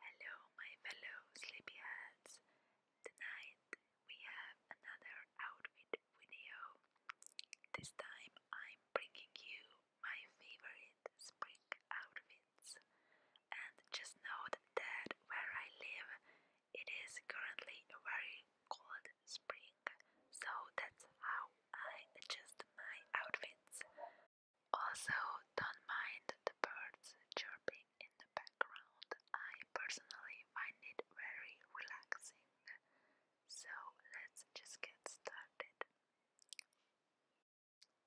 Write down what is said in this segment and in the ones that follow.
Hello, my fellow sleepyheads. Tonight we have another outfit video. This time I'm bringing you my favorite spring outfits. And just note that where I live, it is currently a very cold spring, so that's how I adjust my outfits. Also, don't mind the birds chirping in the background. I personally find it very relaxing. So, let's just get started.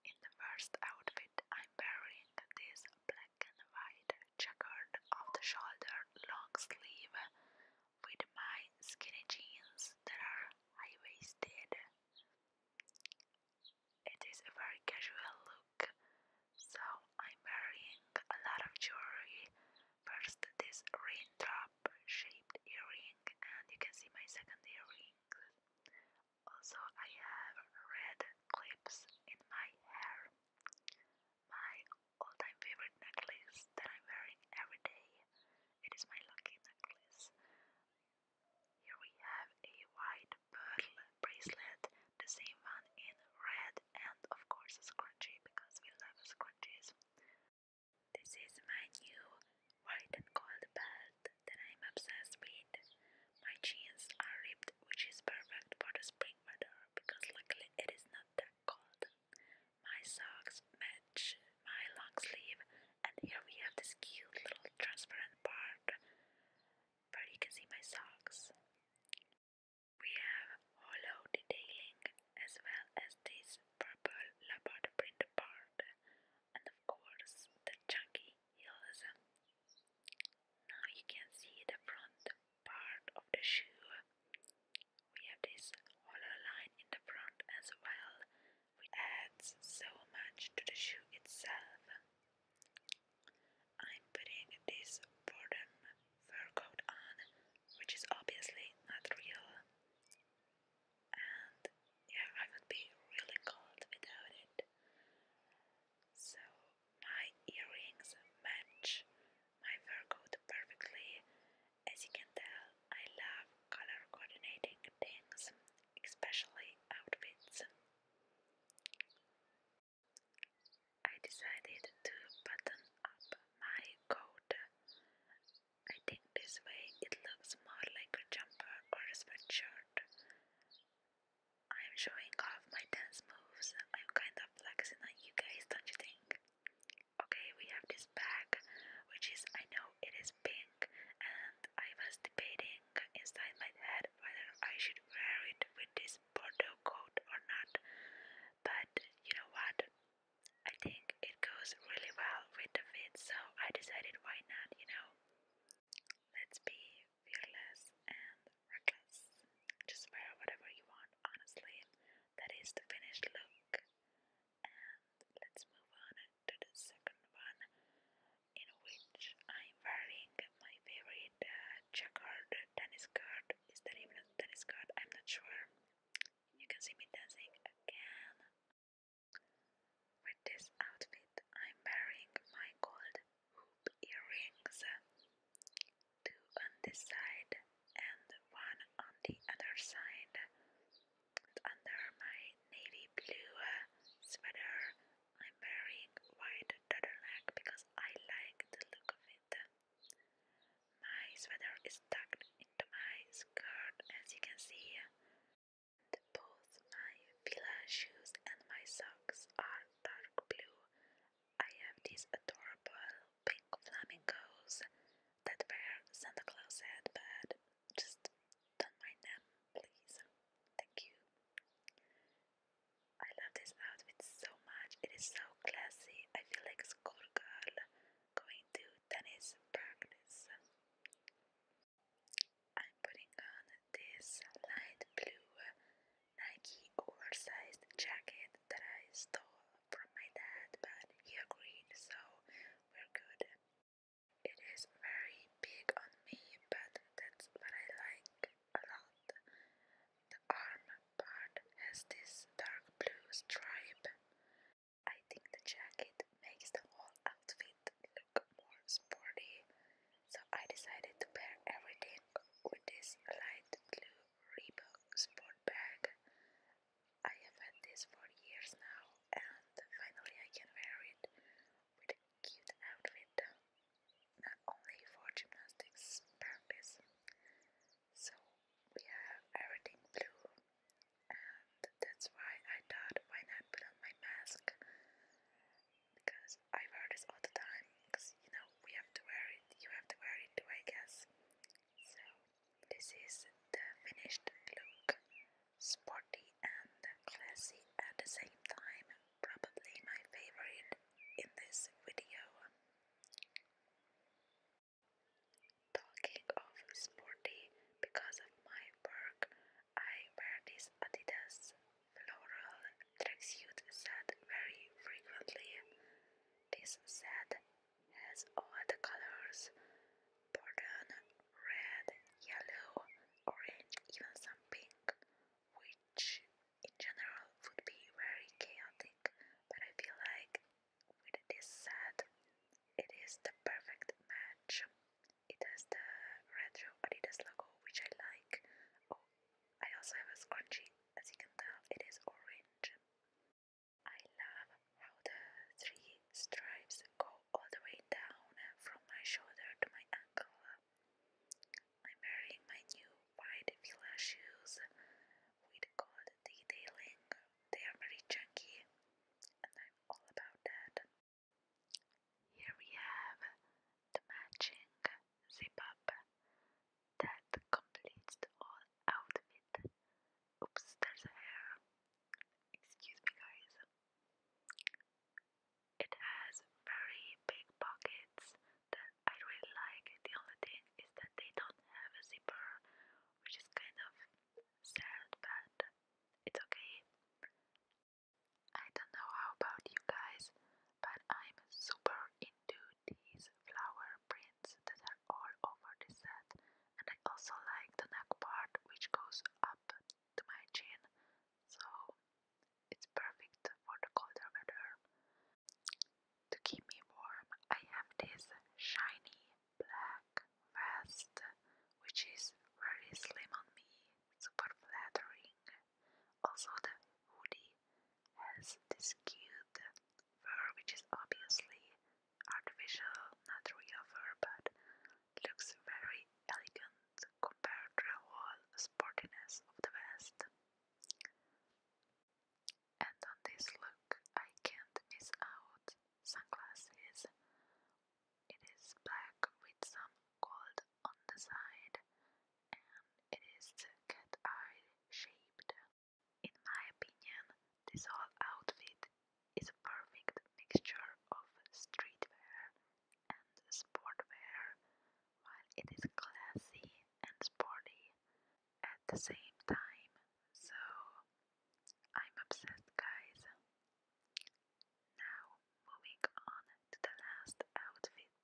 In the first outfit, I'm wearing this black and white checkered off the shoulder long sleeve with my skinny jeans that are high waisted. It is a very casual look, so I'm wearing a lot of jewelry. First, this raindrop shaped earring, and you can see my second earring. Also, I have red clips in my hair. My all time favorite necklace that I'm wearing every day. It is my lucky necklace. Here we have a white pearl bracelet, the same one in red, and of course a scrunchie because we love scrunchies. This is my new white and gold belt that I'm obsessed with. My jeans are ripped, which is perfect for the spring weather because luckily it is not that cold. My socks match my long sleeve and here we have this cute little transparent part where you can see my socks. We have hollow detailing as well as this purple leopard print part, and of course the chunky heels. Now you can see the front part of the shoe. We have this hollow line in the front as well, adds so much to the shoe itself. I'm putting this boredom fur coat on, which is obviously not real, and yeah, I would be really cold without it. So, my earrings match my fur coat perfectly. As you can tell, I love color coordinating things especially outfits. I decided to button up my coat. I think this way it looks more like a jumper or a sweatshirt. I'm showing off my dance moves. I'm kind of flexing on you guys, don't you think? Okay, we have this bag, which is, I know it is pink and I was debating inside my head whether I should wear it with this bordeaux coat or not, but you know what? I think it goes really well with the fit, so I decided why not, you know? Let's be fearless and reckless. Just wear whatever you want, honestly. That is the finished look. And let's move on to the second one, in which I'm wearing my favorite uh, checkered tennis card. Is that even a tennis card? I'm not sure. You can see me dancing again. With this outfit, I'm wearing my gold hoop earrings, two on this side and one on the other side. under my navy blue uh, sweater, I'm wearing white turtleneck because I like the look of it. My sweater is tucked into my skirt as you can see. And both my fila shoes and my socks are dark blue. I have these adorable pink flamingos that were Santa Claus had, but just don't mind them, please. Thank you. I love this outfit so much. It is so classy. I feel like a schoolgirl going to tennis practice. I'm putting on this light blue Nike oversized jacket that I stole from my dad, but he agreed, so we're good. It is very big on me, but that's what I like a The arm part has this dark blue stripe. I think the jacket makes the whole outfit look more sporty, so I decided to pair everything with this light blue Reebok sport bag. I have had this for years now, and finally I can wear it with a cute outfit, not only for gymnastics purpose. So we have everything blue, and that's why I thought why not put on my mask because I wear this all the time. Because you know we have to wear it, you have to wear it too, I guess. So this is the finished look sporty and classy at the same time, probably my favorite in this video. Talking of sporty, because of my work, I wear this Adidas floral tracksuit set very frequently. This set has all the colors: Pardon, red, yellow, orange, even some pink, which in general would be very chaotic, but I feel like with this set it is the perfect match. It has the retro Adidas logo, which I like. Oh, I also have a scrunchie, as you can tell, it is orange. I love how the three stripes go all the way down from my shoulder to my ankle. I'm wearing my new wide Fila shoes with gold detailing. They are very chunky, and I'm all about that. Here we have the matching zip up that completes all out outfit. Oops, there's hair. Excuse me, guys. It has very big pockets that I really like. The only thing is that they don't have a zipper, which is kind of sad, but it's okay. I don't know how about you guys, but I'm super into these flower prints that are all over the set, and I also like the neck part which goes up to my chin, so it's perfect for the colder weather. To keep me warm, I have this shiny black vest, which is very slim on me, super flattering. Also, the hoodie has this cute fur, which is obviously artificial, not real fur, but looks very elegant compared to the sportiness of the West. And on this look I can't miss out. Sunglasses. It is black with some gold on the side and it is cat eye shaped. In my opinion, this whole outfit is a perfect mixture of streetwear and sportwear, while it is classy and sporty at the same time. So I'm obsessed, guys. Now, moving on to the last outfit.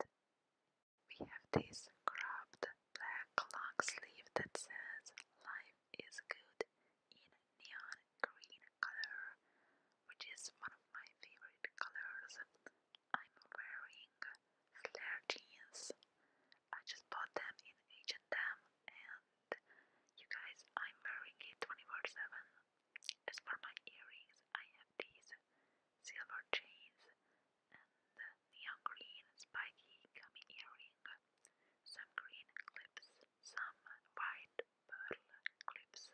We have this cropped black long sleeve that says Life is Good in neon green color, which is one of my favorite colors. I'm wearing flare jeans. I just bought them in H&M and you guys, I'm wearing it 24/7. As for my earrings, I have these silver chains and neon green spiky gummy earring, some green clips, some white pearl clips,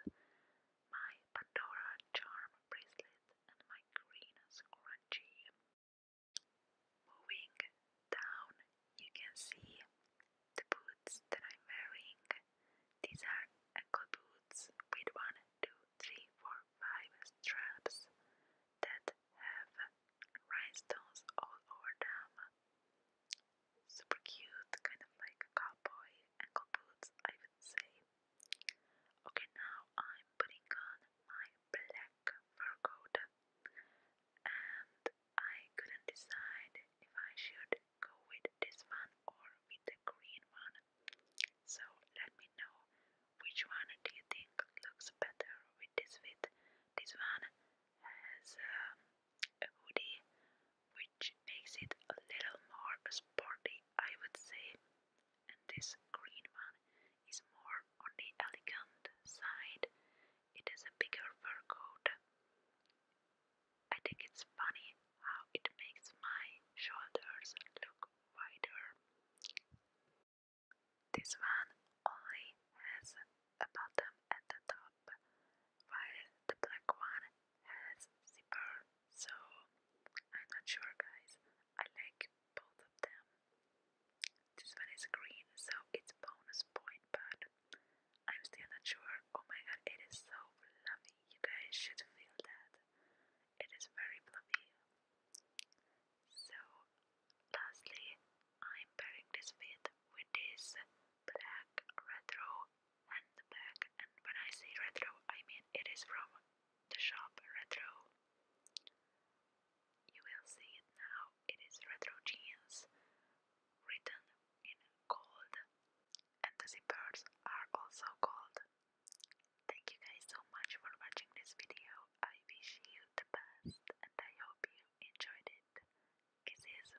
my Pandora charm bracelet, and my green scrunchie. Moving down, you can see the boots that I'm wearing. These are ankle boots with one, two, three, four, five straps that have rhinestones all over them super cute, kind of like cowboy ankle boots, I would say. Okay, now I'm putting on my black fur coat, and I couldn't decide if I should go with this one or with the green one. So let me know which one do you think looks better with this fit. This one has um, a hoodie, which makes it a little more sporty, I would say. And this green one is more on the elegant side. It has a bigger fur coat. I think it's funny how it makes my shoulders look wider. This one only has a bottom at the top, while the black one has zipper, so I'm not sure, guys. I like both of them. This one is green, so it's bonus point, but I'm still not sure. Oh my god, it is so fluffy. You guys should feel that. It is very fluffy. So, lastly, I'm pairing this fit with this black retro and the bag. And when I say retro, I mean it is from the shop Retro. You will see it now. It is retro jeans written in gold, and the zippers are also gold. Thank you guys so much for watching this video. I wish you the best, and I hope you enjoyed it. Kisses.